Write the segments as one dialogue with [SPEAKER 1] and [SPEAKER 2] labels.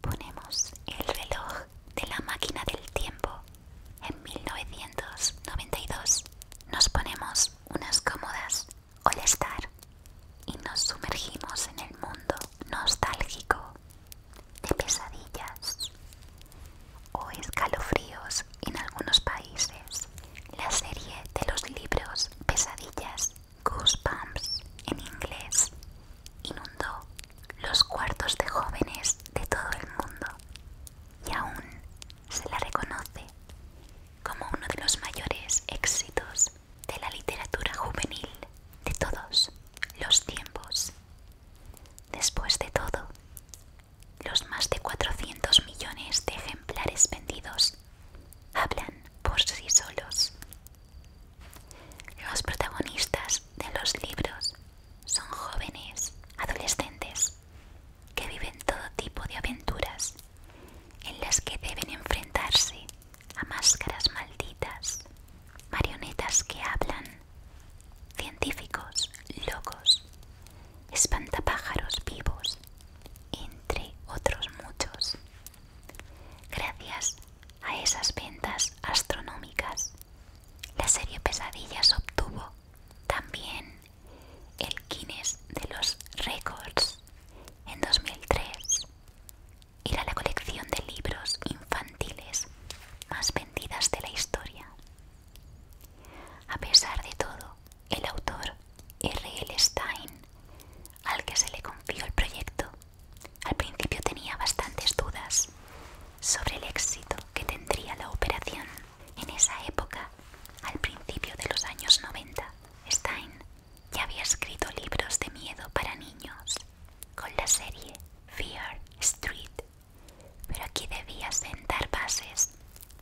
[SPEAKER 1] Ponemos el reloj de la máquina del tiempo en 1992. Nos ponemos unas cómodas All Star y nos sumergimos en el mundo nostálgico de pesadillas o escalofríos en algunos países la serie de los libros Pesadillas Goosebumps en inglés inundó los cuartos de jóvenes de todo el mundo y aún se la reconoce como uno de los mayores éxitos de la literatura juvenil de todos los tiempos. Después de todo, los más de 400 millones de ejemplares vendidos hablan por sí solos. Los protagonistas de los libros son jóvenes, adolescentes, que viven todo tipo de aventuras en las que deben enfrentarse a máscaras malditas, marionetas que hablan, científicos locos, espantapájaros vivos entre otros muchos. Gracias a esas ventas astronómicas, la serie Pesadillas obtuvo también el Guinness de los Records en 2003. Era la colección de libros infantiles más vendidas de la historia. A pesar de todo, el autor R.L. Stein, al que se le confió el proyecto, al principio tenía bastantes dudas sobre el éxito que tendría la operación. En esa época, al principio de los años 90, Stein ya había escrito libros de miedo para niños con la serie Fear Street, pero aquí debía sentar bases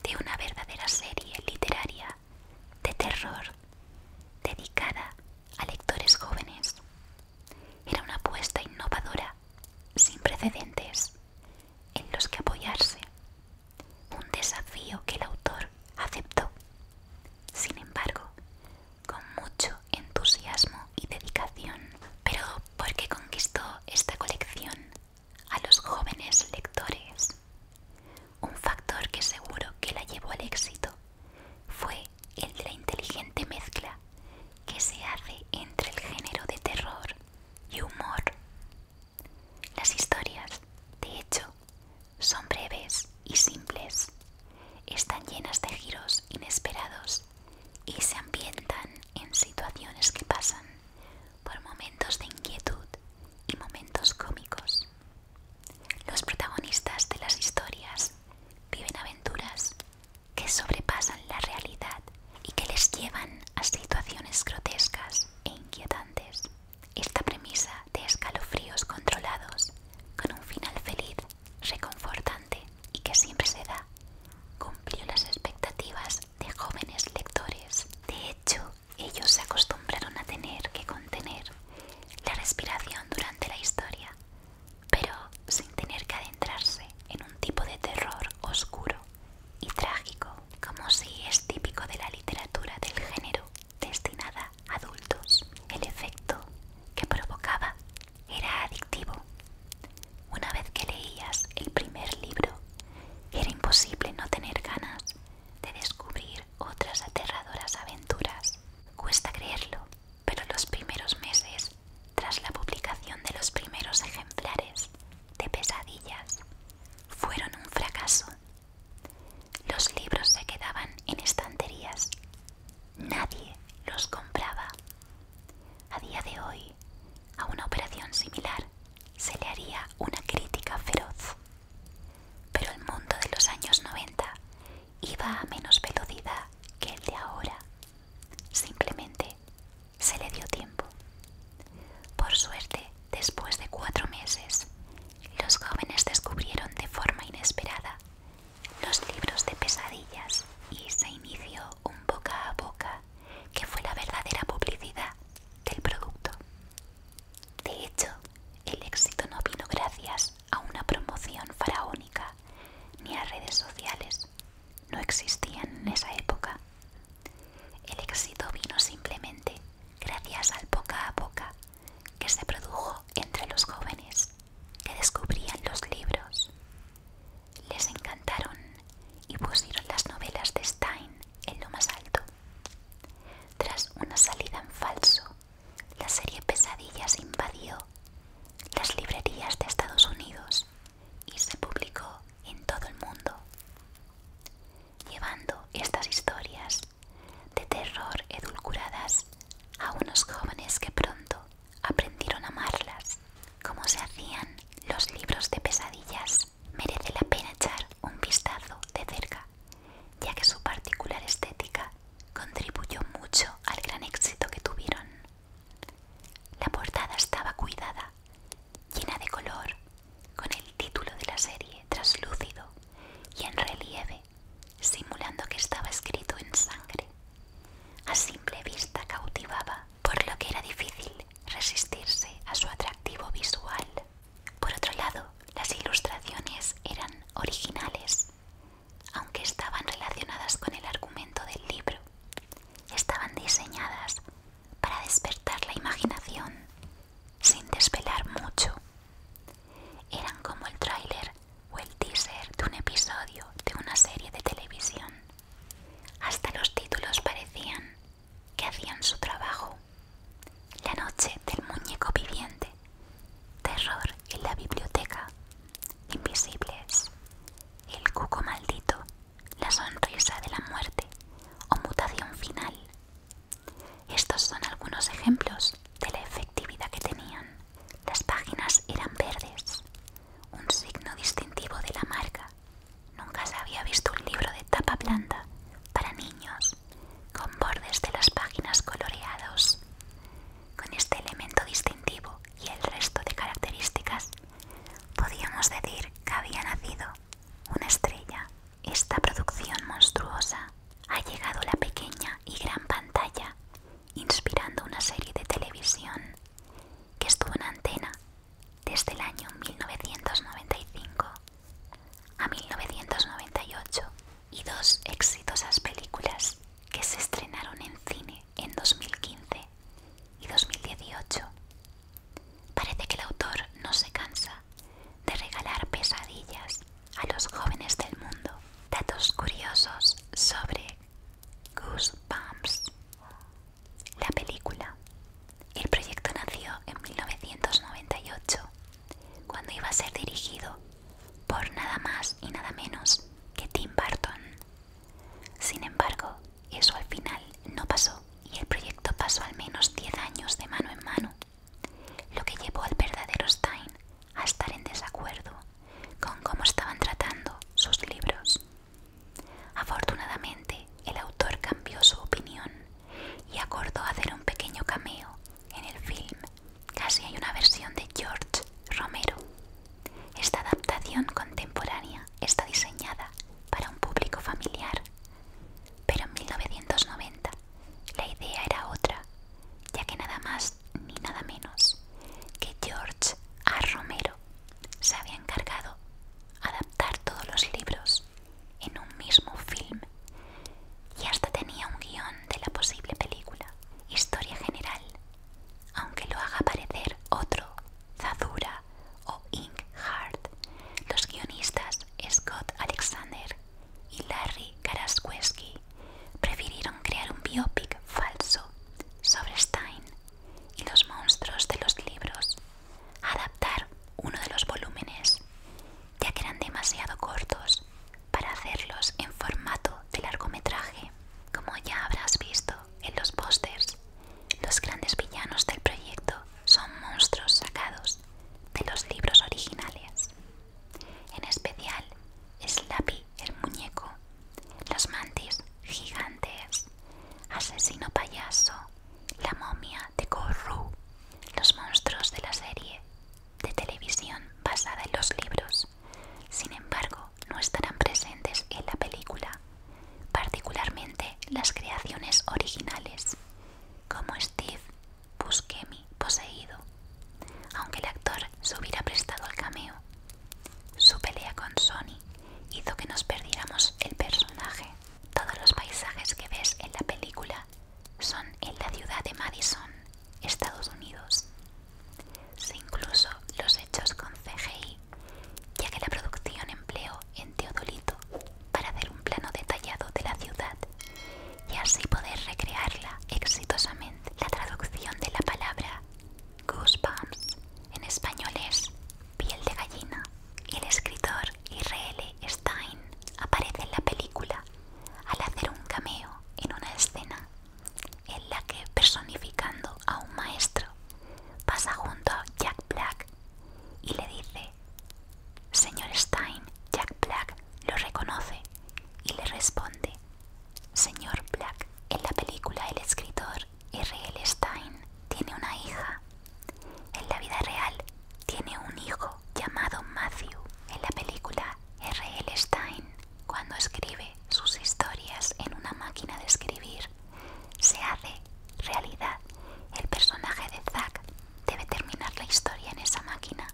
[SPEAKER 1] de una verdadera serie literaria de terror dedicada a lectores jóvenes. Era una apuesta innovadora, sin precedentes, en los que apoyarse, un desafío que el autor aceptó, sin embargo, con mucho entusiasmo y dedicación. Pero, ¿por qué conquistó esta colección a los jóvenes lectores. Un factor que seguro que la llevó al éxito fue el de la inteligente mezcla que se hace entre el género de terror y humor. Las historias, de hecho, son breves y simples, están llenas de giros inesperados y se ambientan en situaciones que pasan por momentos de inquietud y momentos cómicos. Los protagonistas de las historias viven aventuras que sobrepasan la realidad y que les llevan a situaciones grotescas e inquietantes. Esta premisa de escalofríos controlados, con un final feliz, reconfortante y que siempre se da, cumplió las expectativas de jóvenes lectores. De hecho, ellos se acostumbraron a tener que contener la respiración durante la historia, pero sin tener que adentrarse en un tipo de terror oscuro y trágico, como si es típico de la literatura del género destinada a adultos. El efecto que provocaba era adictivo. Una vez que leías el primer libro, era imposible no tener ganas de descubrir otras aterradoras aventuras. Cuesta creerlo, pero los primeros meses, tras la publicación de los primeros ejemplares de pesadillas, fueron un fracaso. Los libros se quedaban en estanterías. Nadie los compraba. A día de hoy, a una operación similar se le haría una crítica feroz. Pero el mundo de los años 90 iba a menos velocidad que el de ahora. Simplemente se le dio tiempo. Por suerte, después de cuatro meses, los jóvenes descubrieron de forma inesperada los libros de pesadillas y se inició un boca a boca que fue la verdadera publicidad del producto. De hecho, el éxito no vino gracias a una promoción faraónica ni a redes sociales. No existían en esa época. El éxito vino simplemente gracias al poca a poca que se produjo entre los jóvenes que descubrían los libros. Les encantaron y pusieron las novelas de Stein en lo más alto. Tras una salida en falso, la serie Pesadillas invadió las librerías de Estados Unidos y se publicó en todo el mundo, llevando estas historias de terror edulcuradas a unos jóvenes que pronto aprendieron a amarlas, como se hacían los libros de pesadillas merece la pena echar un vistazo de cerca, ya que su particular estética contribuyó mucho al gran éxito que tuvieron. La portada estaba cuidada, llena de color, con el título de la serie traslúcido y en relieve, simulando que estaba escrito en sangre. A simple vista cautivaba, por lo que era difícil resistirse a su atractivo visual. Por otro lado, las ilustraciones eran originales, aunque estaban relacionadas con el argumento del libro. Estaban diseñadas para despertar la imaginación sin desvelar mucho. Eran como el tráiler o el teaser de un episodio de una serie de televisión. Hasta los títulos parecían que hacían su trabajo. La noche del muñeco viviente. Terror en la biblioteca. Invisibles. El cuco maldito. La sonrisa de la muerte. O mutación final. Estos son algunos ejemplos de la efectividad que tenían. Las páginas eran verdes. Un signo distintivo de la marca. Nunca se había visto un libro de tapa blanda para niños con bordes de las páginas coloreados. Con este elemento distintivo y el resto de características, podíamos decir que había nacido una estrella. Esta producción monstruosa ha llegado a la pequeña y gran pantalla, inspirando una serie de televisión que estuvo en antena desde el año 1995 a 1998 y dos exitosas películas que se estrenaron en cine en 2015 y 2018. Parece que el autor no se cansa de regalar pesadillas a los jóvenes del mundo. Datos curiosos sobre Goosebumps. La película. El proyecto nació en 1998 cuando iba a ser dirigido por nada más y nada menos que Tim Burton. Sin embargo, eso al final no pasó y el proyecto pasó al menos 10 años de mano en mano, lo que llevó al verdadero Stein a estar en desacuerdo con cómo estaban tratando sus libros. Afortunadamente, el autor cambió su opinión y acordó hacer un pequeño cameo en el film. Casi hay una versión de George Romero. Esta adaptación contemporánea está diseñada para un público familiar, pero en 1990 la idea era otra, ya que nada más ni nada menos que George A. Romero se había encargado de adaptar todos los libros en un mismo film y hasta tenía un guión de la posible película, historia general, aunque lo haga parecer otro, Zadura o Ink hard Los guionistas Scott Alexander y Larry Karasweski prefirieron crear un biopic falso sobre Stein y los monstruos de los libros, adaptar uno de los volúmenes ya que eran demasiado cortos para hacerlos en formato de largometraje. Como ya habrás visto en los pósters, los grandes villanos del proyecto son monstruos sacados de los libros originales. En especial, Slappy el muñeco, las mantis gigantes, asesino payaso, la momia de Corru, los monstruos de la serie de televisión basada en los libros, sin embargo no estarán presentes en la película, particularmente las creaciones originales, como Steve Buscemi poseído, aunque el actor se hubiera prestado al cameo. Su pelea con Sony hizo que nos perdiéramos el personaje. Todos los paisajes que ves en la película son en la ciudad de Madison, Estados Unidos. Se incluso los hechos con CGI, ya que la producción empleó en teodolito para hacer un plano detallado de la ciudad y así poder recrearla exitosamente. La traducción de la palabra goosebumps en español es piel de gallina. Y El escritor es Stein aparece en la película al hacer un cameo en una escena en la que, personificando a un maestro, pasa junto a Jack Black y le dice, Señor Stein, Jack Black lo reconoce y le responde, Señor Black, en la película el escritor R.L. Stein tiene una hija. En la vida real tiene un hijo llamado Matthew. En la película R.L. Stein, cuando escribe sus historias en una máquina de escribir, se hace realidad. El personaje de Zack debe terminar la historia en esa máquina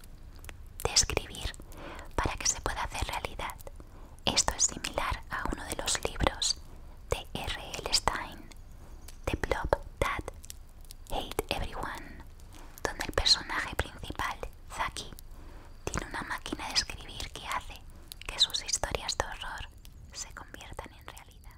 [SPEAKER 1] de escribir para que se pueda hacer realidad. Esto es similar a uno de los libros de R.L. Stein, The Blob Dad. Hate Everyone, donde el personaje principal, Zaki, tiene una máquina de escribir que hace que sus historias de horror se conviertan en realidad.